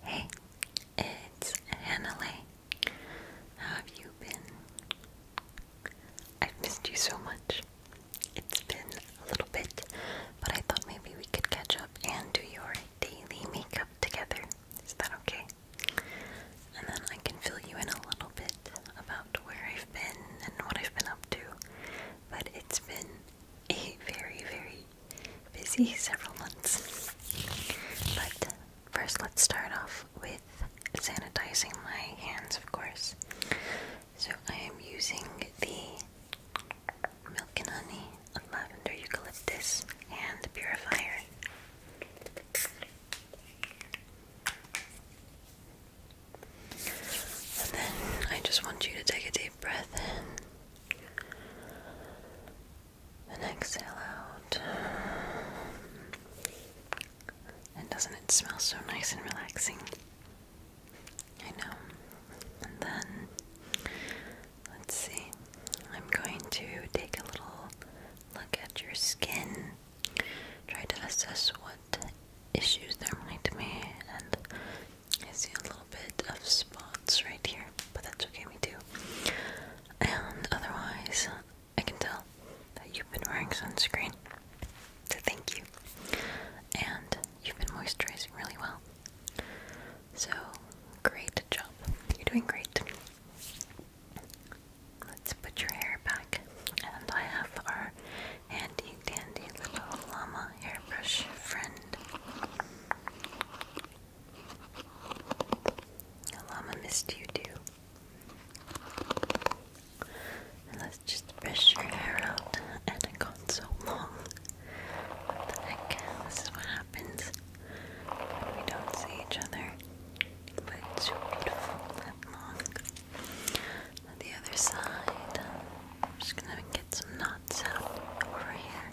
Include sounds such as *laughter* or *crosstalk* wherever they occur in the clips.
Hey, it's Annalee. How have you been? I've missed you so much. It's been a little bit, but I thought maybe we could catch up and do your daily makeup together. Is that okay? And then I can fill you in a little bit about where I've been and what I've been up to. But it's been a very, very busy several months. But first, let's start off with sanitizing my hands, of course. So I am using the Milk and Honey Lavender Eucalyptus Hand Purifier. And then I just want you to take a deep breath in and exhale out. And doesn't it smell so nice and relaxing? I know. And then, let's see, I'm going to take a little look at your skin, try to assess what issues there might be, and I see a little bit of spots right here, but that's okay, we do. And otherwise, I can tell that you've been wearing sunscreen. So thank you. And you've been moisturizing really well. So, great job. You're doing great. Let's put your hair back. And I have our your handy dandy little llama hairbrush, friend. llama missed you too. let's just brush your hair out. And it got so long. What the heck? This is what happens when we don't see each other. But it's so beautiful and long. On the other side, I'm just gonna get some knots out over here.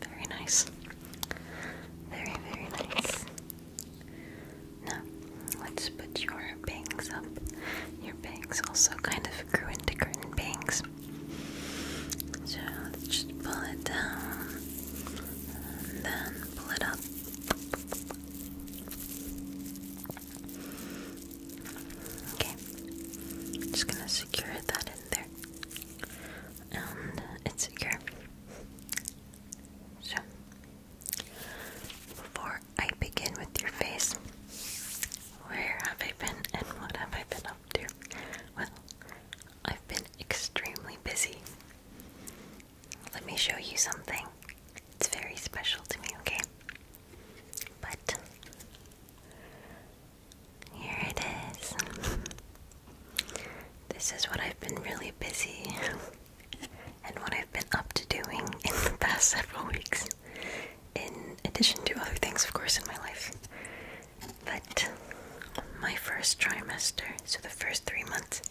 Very nice. Very, very nice. Now, let's put your bangs up. Your bangs also kind of grew into curtain bangs. So just pull it down then pull it up. Okay. Just gonna secure that in there. And it's secure. So before I begin with your face, where have I been and what have I been up to? Well, I've been extremely busy. Let me show you something. It's very special to me, okay? But here it is. *laughs* This is what I've been really busy *laughs* and what I've been up to doing *laughs* in the past several weeks, in addition to other things, of course, in my life. But my first trimester, so the first three months,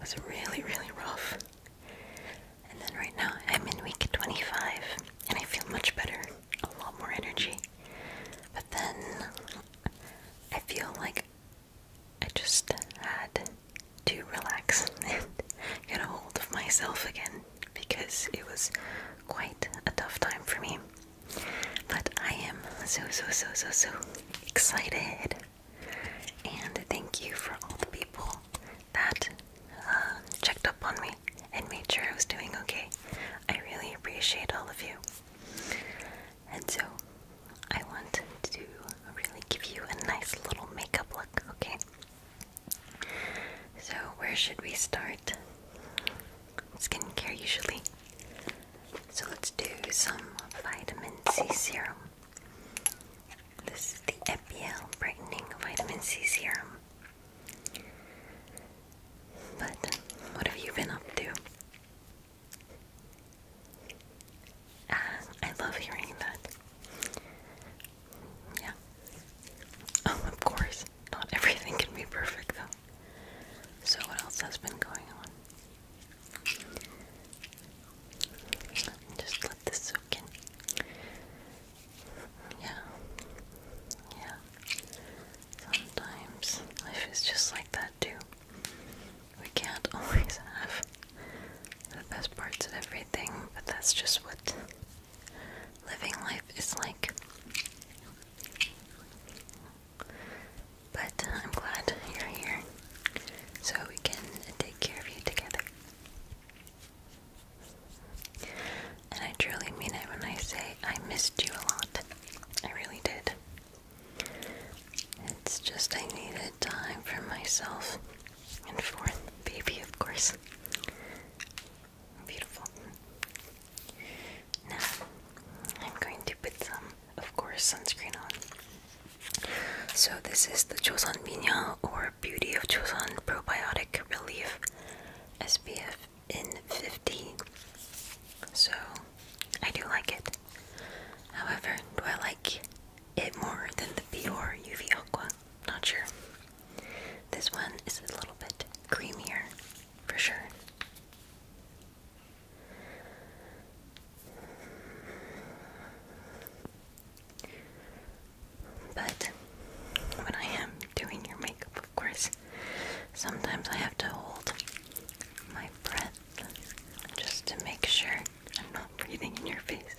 was really, really rough. And then right now I'm in week 25 and I feel much better, a lot more energy. But then I feel like I just had to relax *laughs* and get a hold of myself again because it was quite a tough time for me. But I am so, so, so, so, so excited and thank you for all the people that um, checked up on me and made sure I was doing okay. I really appreciate all of you. And so, I want to really give you a nice little makeup look, okay? So, where should we start? Skincare, usually. So, let's do some vitamin C serum. This is the Epiel Brightening Vitamin C Serum. But what have you been up to? Ah, I love hearing that. Yeah. Oh, of course. Not everything can be perfect, though. So, what else has been going on? Just let this soak in. Yeah. Yeah. Sometimes life is just like that too. We can't *laughs* always have the best parts of everything, but that's just what living life is like. But uh, I'm glad you're here so we can take care of you together. And I truly mean it when I say I missed you a lot. I really did. It's just I needed time for myself and for baby, of course. Beautiful. Now, I'm going to put some of course, sunscreen on. So, this is the Joseon Minya or Beauty of Joseon Probiotic Relief SPF in 50. So, I do like it. However, do I like it more than the Bior UV Aqua? Not sure. This one is a little bit creamier, for sure. But when I am doing your makeup, of course, sometimes I have to hold my breath just to make sure I'm not breathing in your face.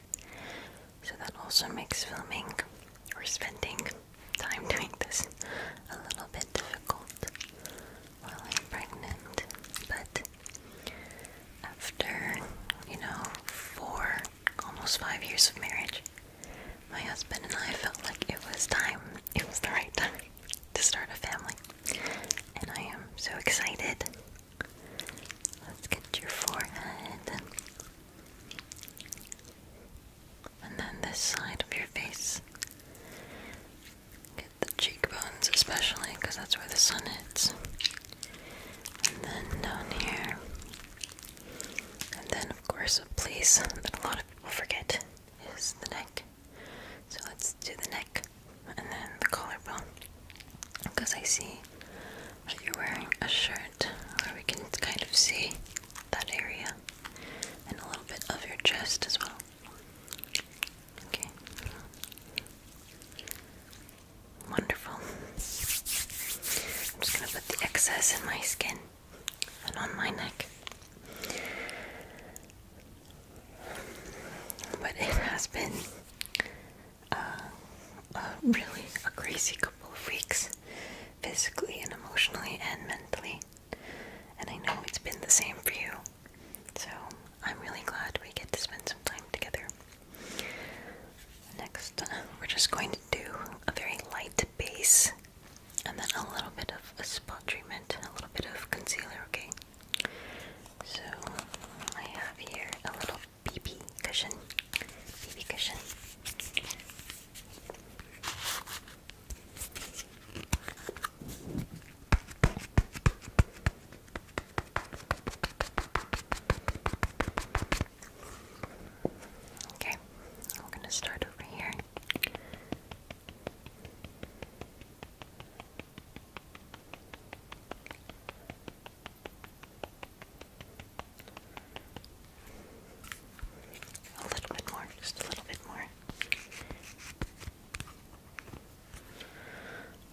So that also makes filming or spending time doing this a little bit difficult while I'm pregnant, but after, you know, four, almost five years of marriage, my husband and I felt like it was time, it was the right time to start a family. And I am so excited. Let's get your forehead. And then this side of your face. Get the cheekbones, especially because that's where the sun hits. And then down here. And then, of course, a place that a lot of people forget is the neck. So let's do the neck and then the collarbone. Because I see that you're wearing a shirt where we can kind of see that area and a little bit of your chest as well. Okay. Wonderful. I'm just going to put the excess in my skin and on my neck. But it has been uh, a really a crazy couple of weeks, physically and emotionally and mentally. And I know it's been the same for you. So I'm really glad we get to spend some time together. Next, uh, we're just going to do a very light base and then a little bit of a spot treatment, a little bit of concealer, okay? So I have here a little BB cushion. BB cushion. Okay, we're going to start over here. A little bit more, just a little bit more.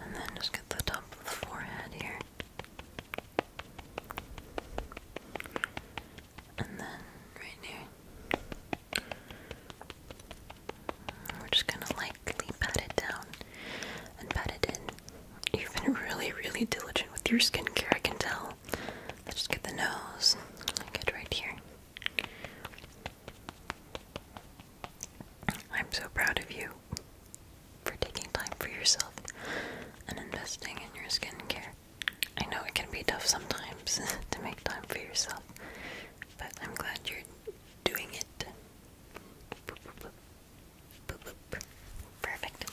And then just get the top of the forehead here. And then right here. We're just gonna lightly pat it down and pat it in. You've been really, really diligent with your skincare, I can tell. Let's just get the nose. Get right here. I'm so proud of you for taking time for yourself and investing in your skincare. I know it can be tough sometimes *laughs* to make time for yourself, but I'm glad you're doing it. Perfect.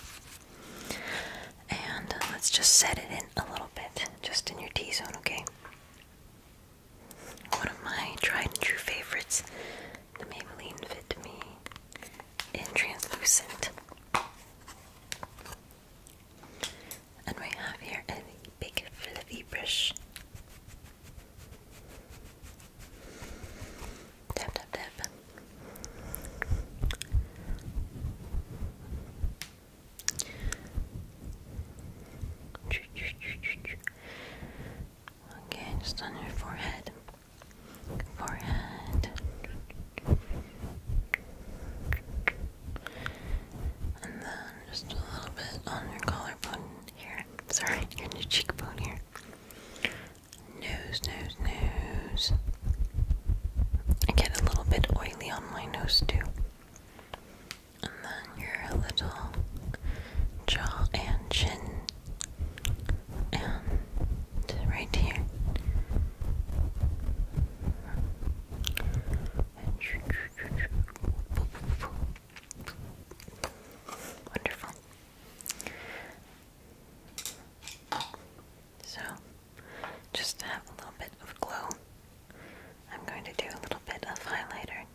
And uh, let's just set it in a little bit, just in your T zone, okay? One of my tried and true favorites, the Maybelline Fit Me in Translucent. And we have here a big fluffy brush. Tap, tap, tap. Okay, just on your forehead. Forehead. And then just a little bit on your collarbone here. Sorry, your cheekbone here. Nose, nose, nose. I get a little bit oily on my nose too and then your little jaw and chin, and right here. Wonderful. So, just to have a little bit of glow, I'm going to do a little bit of highlighter.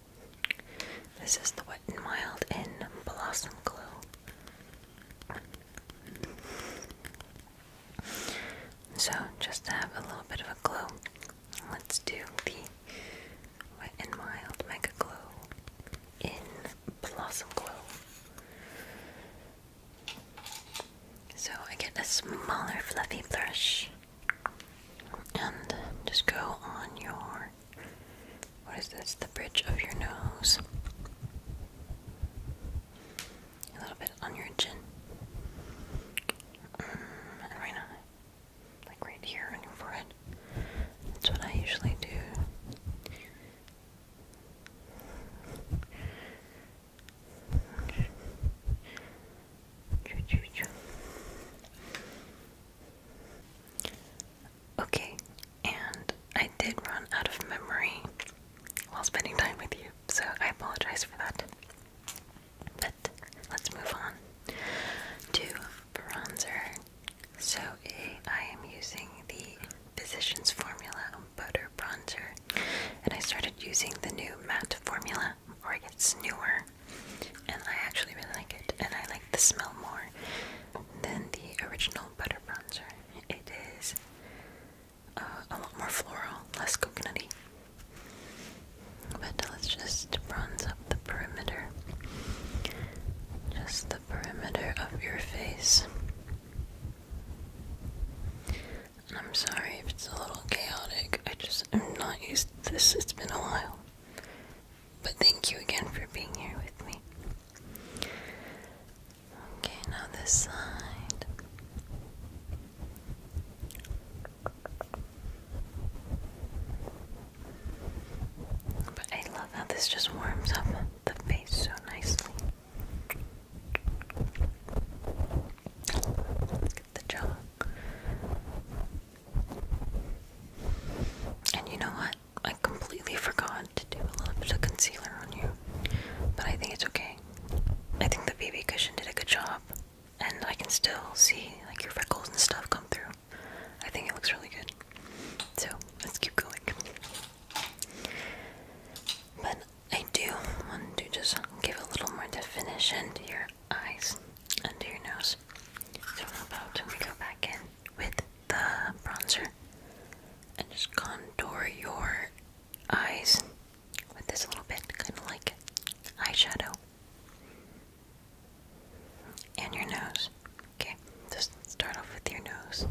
This is the Wet and Wild in Blossom Glow. So, just to have a little bit of a glow, let's do the Wet and Wild Mega Glow in Blossom Glow. So, I get a smaller fluffy brush. And just go on your what is this? The bridge of your nose. A little bit on your chin. Mm, right on like right here on your forehead. That's what I usually do. Okay, and I did run out of memory while spending time with you, so I apologize for that. But let's move on to bronzer. So eh, I am using the Physicians Formula Butter Bronzer, and I started using the new matte formula or it newer, and I actually really like it, and I like the smell more than the original butter bronzer. It is uh, a lot more floral, less coconutty. But let's just bronze up the perimeter, just the perimeter of your face. I'm sorry if it's a little chaotic. I just am not used to this. It's been a while. But thank you again for being here with me. Okay, now this side. But I love how this just warms up the face so nicely. Get the jaw. And you know what? I completely forgot to do a little bit of concealer on you. But I think it's okay. I think the BB cushion did a good job. And I can still see like your freckles and stuff come through. I think it looks really good. So let's keep going. But I do want to just give a little more definition to your eyes and to your nose. So how about we go back in with the bronzer and just contour your eyes with this a little bit, kind of like eyeshadow. And your nose. Okay, just start off with your nose.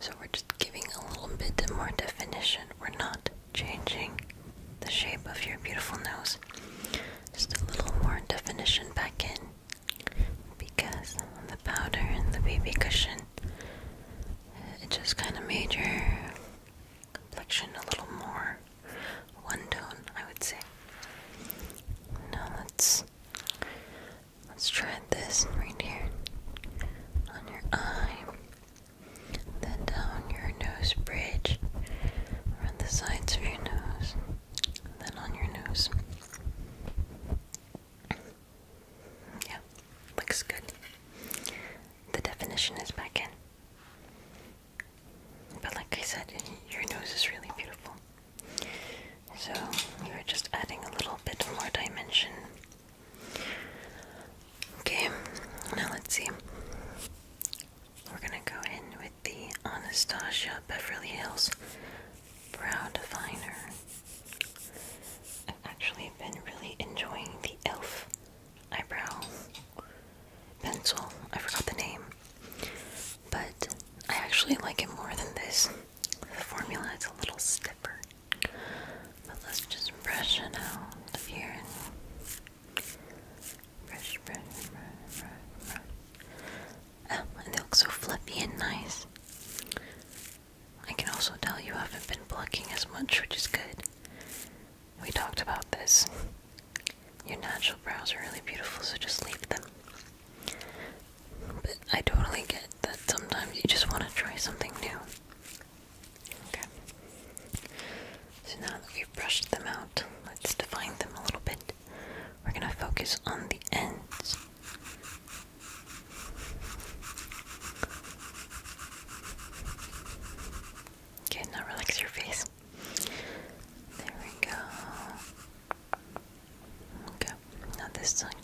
So we're just giving a little bit more definition. We're not changing the shape of your beautiful nose. Just a little more definition back in because the powder and the baby cushion it just kind of made your complexion a little more one tone, I would say. Now let's let's try this right here on your eye then down your nose bridge, around the sides of your nose, then on your nose. Yeah, looks good. The definition is back in. But like I said, your nose is really beautiful. So, we are just adding a little bit more dimension Okay, now let's see. We're gonna go in with the Anastasia Beverly Hills Brow Definer. I've actually been really enjoying the e.l.f. eyebrow pencil. I forgot the name. But I actually like it more than this. The formula is a little stiffer. But let's just brush it out here. Brush, brush, brush, brush, brush. Oh, and they look so fluffy and nice. I can also tell you haven't been plucking as much, which is good. We talked about this. Your natural brows are really beautiful, so just leave them. But I totally get that sometimes you just want to try something new. Okay. So now that we've brushed them out, let's define them a little bit. We're going to focus on the ends. Okay, now relax your face. There we go. Okay, now this side.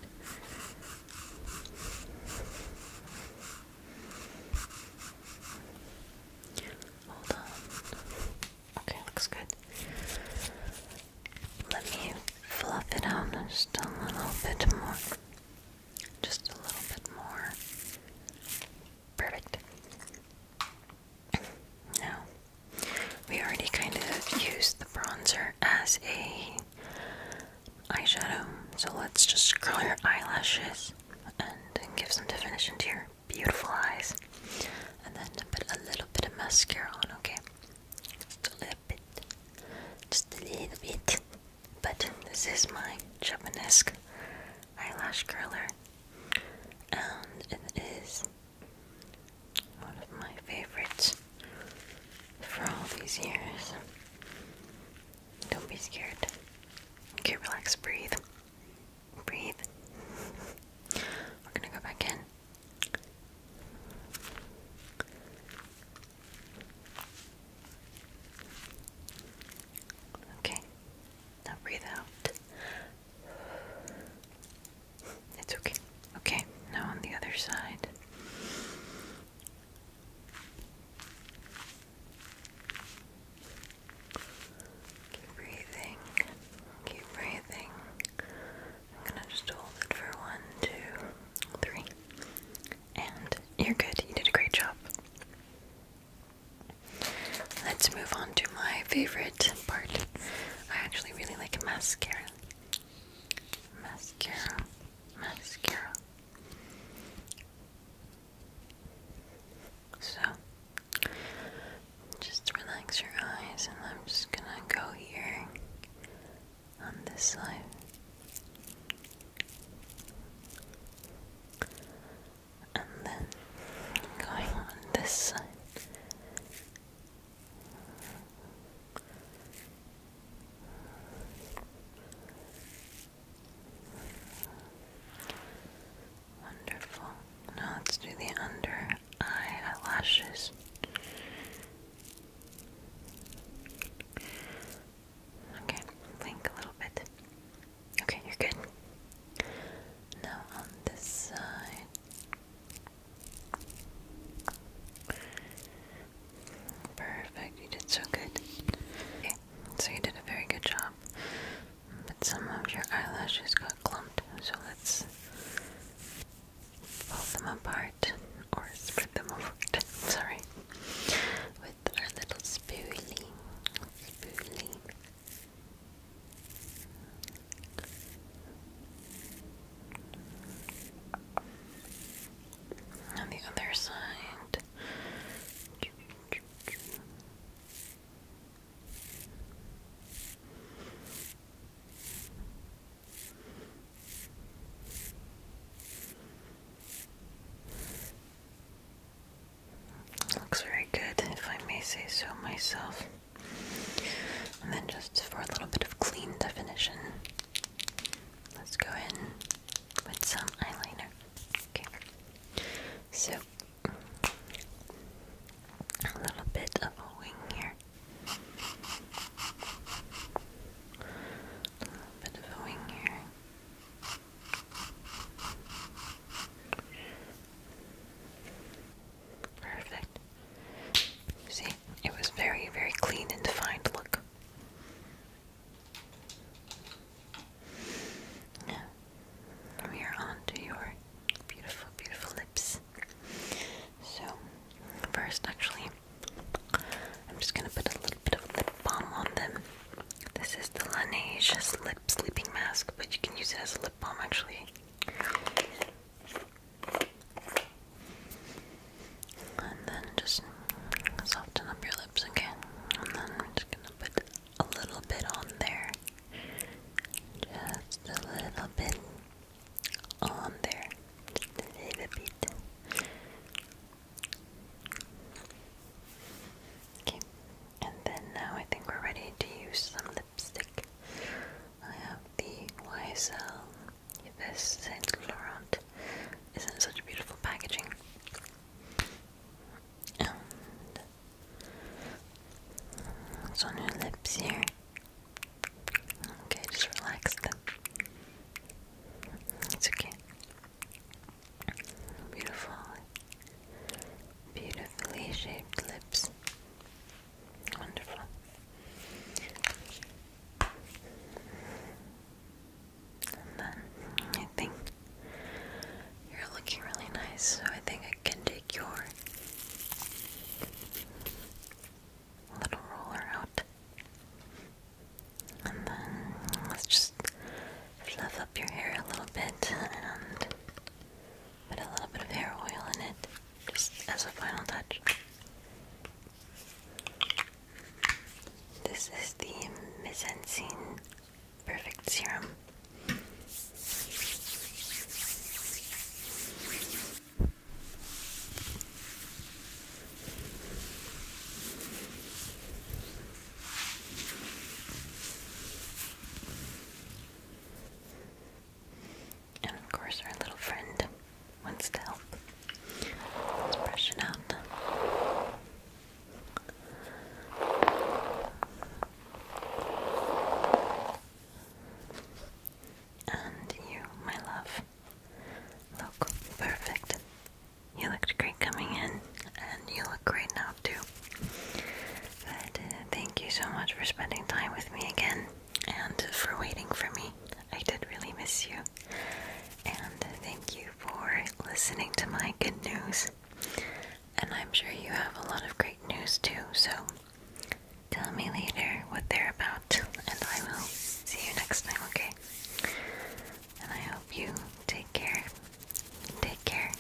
Hold on. Okay, looks good. Let me fluff it out just a little bit more. Just a little bit more. Perfect. Now, we already kind of used the bronzer as a eyeshadow. So let's just curl your eyelashes and give some definition to your beautiful eyes. And then put a little bit of mascara on, okay? Just a little bit. Just a little bit. But this is my Japanese eyelash curler. And it is one of my favorites for all these years. Don't be scared. Okay, relax, breathe. Breathe. We're gonna go back in. Okay, now breathe out. It's okay. Okay, now on the other side. Keep breathing. Keep breathing. I'm gonna just hold it for one, two, three. And you're good. You did a great job. Let's move on to my favorite part. I actually really like mascara. Mascara mascara. So, just relax your eyes, and I'm just gonna go here on this side. And then going on this side. Wonderful. Now let's do the under eye eyelashes. Okay, blink a little bit. Okay, you're good. Now on this side. Perfect, you did so good. Okay, so you did a very good job. But some of your eyelashes got clumped, so let's fold them apart or spread them apart. Sorry. With our little Spoolie. On the other side. Looks very good, if I may say so myself. And then just for a little bit of clean definition. Let's go in with some eyeliner. Okay. So a little bit of a wing here. A little bit of a wing here. Perfect. See, it was very, very clean and defined. Look. we are on your beautiful, beautiful lips. So, first, actually, I'm just gonna put a little bit of lip balm on them. This is the Laneige Lip Sleeping Mask, but you can use it as a lip balm actually. And then just soften up your lips again. And then we're just gonna put a little bit on there. Just a little bit on there. Just a little bit. Okay, and then now I think we're ready to use some lipstick. I have the YSL this Saint Laurent is in such beautiful packaging. on your lips here. Okay, just relax It's okay. Beautiful, beautifully shaped lips. Wonderful. And then I think you're looking really nice, so I think I can take your little roller out. And then let's just fluff up your hair a little bit and put a little bit of hair oil in it just as a final touch. This is the Misencine Perfect Serum. And of course, our little friend wants to help. Let's brush it out. And you, my love, look perfect. You looked great coming in, and you look great now, too. But uh, thank you so much for spending time with me again and for waiting for me. I did really miss you. And thank you for listening to my good news. And I'm sure you have a lot of great news too, so tell me later what they're about, and I will see you next time, okay? And I hope you take care. Take care.